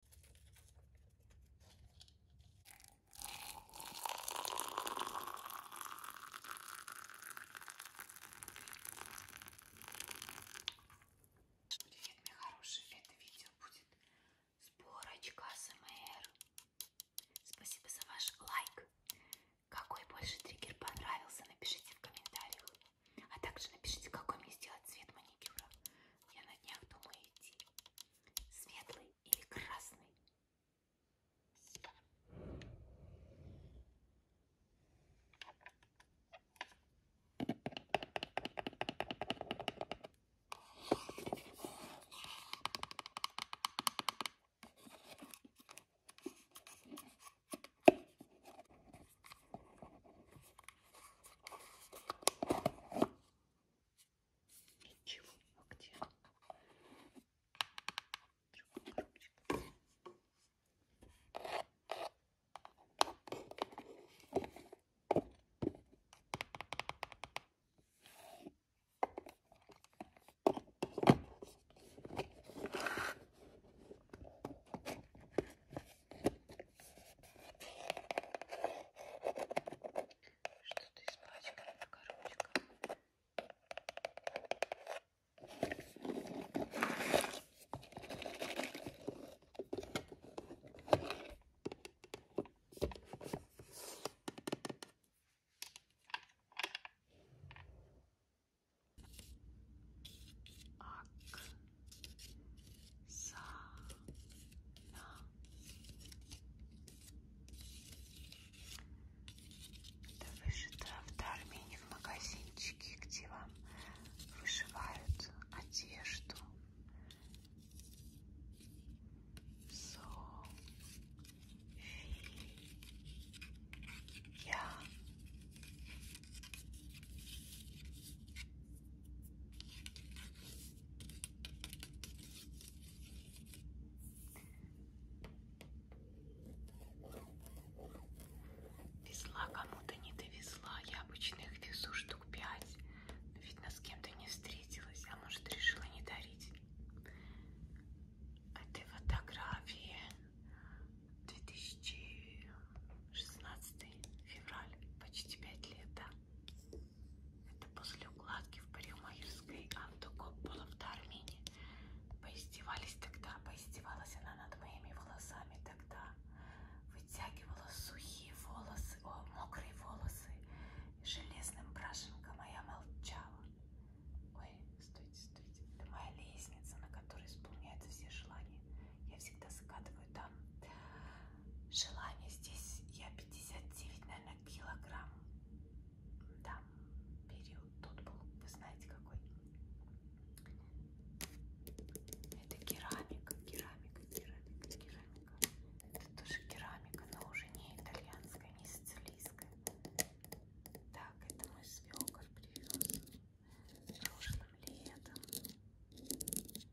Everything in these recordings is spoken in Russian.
Привет, мои хорошие! Это видео будет сборочка СМР. Спасибо за ваш лайк. Какой больше триггер понравился, напишите в комментариях. А также напишите, какой мне сделать цвет маникюра. Я на днях думаю идти. Светлый или красный? Ничего, а где? Другой коробочек. Что-то испачкано, коробочка. Оксана. Это вышито в Дармене в магазинчике, где вам вышивают одежду. София. Я везла кому-то не довезла. Я обычно их везу штук пять. Но, видно, с кем-то не встретилась, а может решила не дарить. Этой фотографии 2016 февраль, почти 5 лет, да? Это после укладки в парикмахерской Анду Копполов Армении. Поиздевались тогда, поиздевалась она над моими волосами тогда. Вытягивала сухие волосы, о, мокрые волосы. Железным брашенком моя молчала. Ой, стойте, стойте. Это моя лестница, на которой исполняются все желания. Я всегда закатываю там желание. Здесь я 59, наверное, килограмм. Да, период тот был, вы знаете какой. Это керамика, керамика, керамика, керамика. Это тоже керамика, но уже не итальянская, не сицилийская. Так, это мой свекор привез прошлым летом из Греции.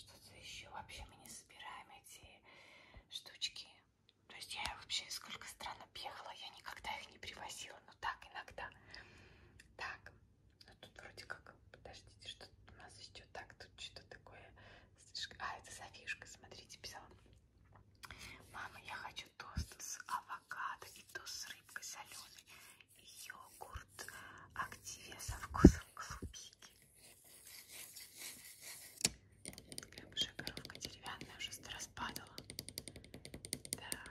Что-то еще вообще мы не собираем эти штучки. То есть я вообще сколько стран объехала, я никогда их не привозила, но так иногда. Так, ну тут вроде как, подождите, что тут у нас еще идет так, тут что-то такое. А, это Софишка, смотрите, писала. Мама, я хочу тост с авокадо и тост с рыбкой соленой. И йогурт активия со вкусом клубники. Прям уже коровка деревянная, уже распадала. Так.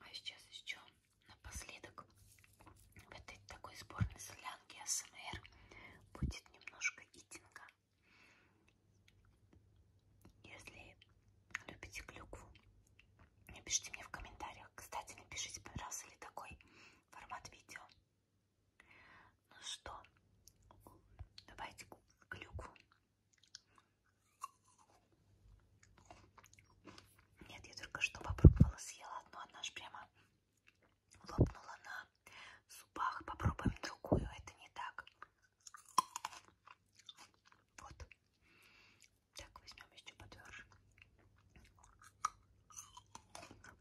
А сейчас еще напоследок в этой такой сборной солянке АСМР будет немножко итинга. Если любите клюкву, напишите мне в комментариях. Кстати, напишите, понравился ли такой формат видео. Ну что, давайте клюкву. Нет, я только что попробовала, съела одну, она же прямо лопнула на зубах. Попробуем другую, это не так. Вот. Так, возьмем еще подверж.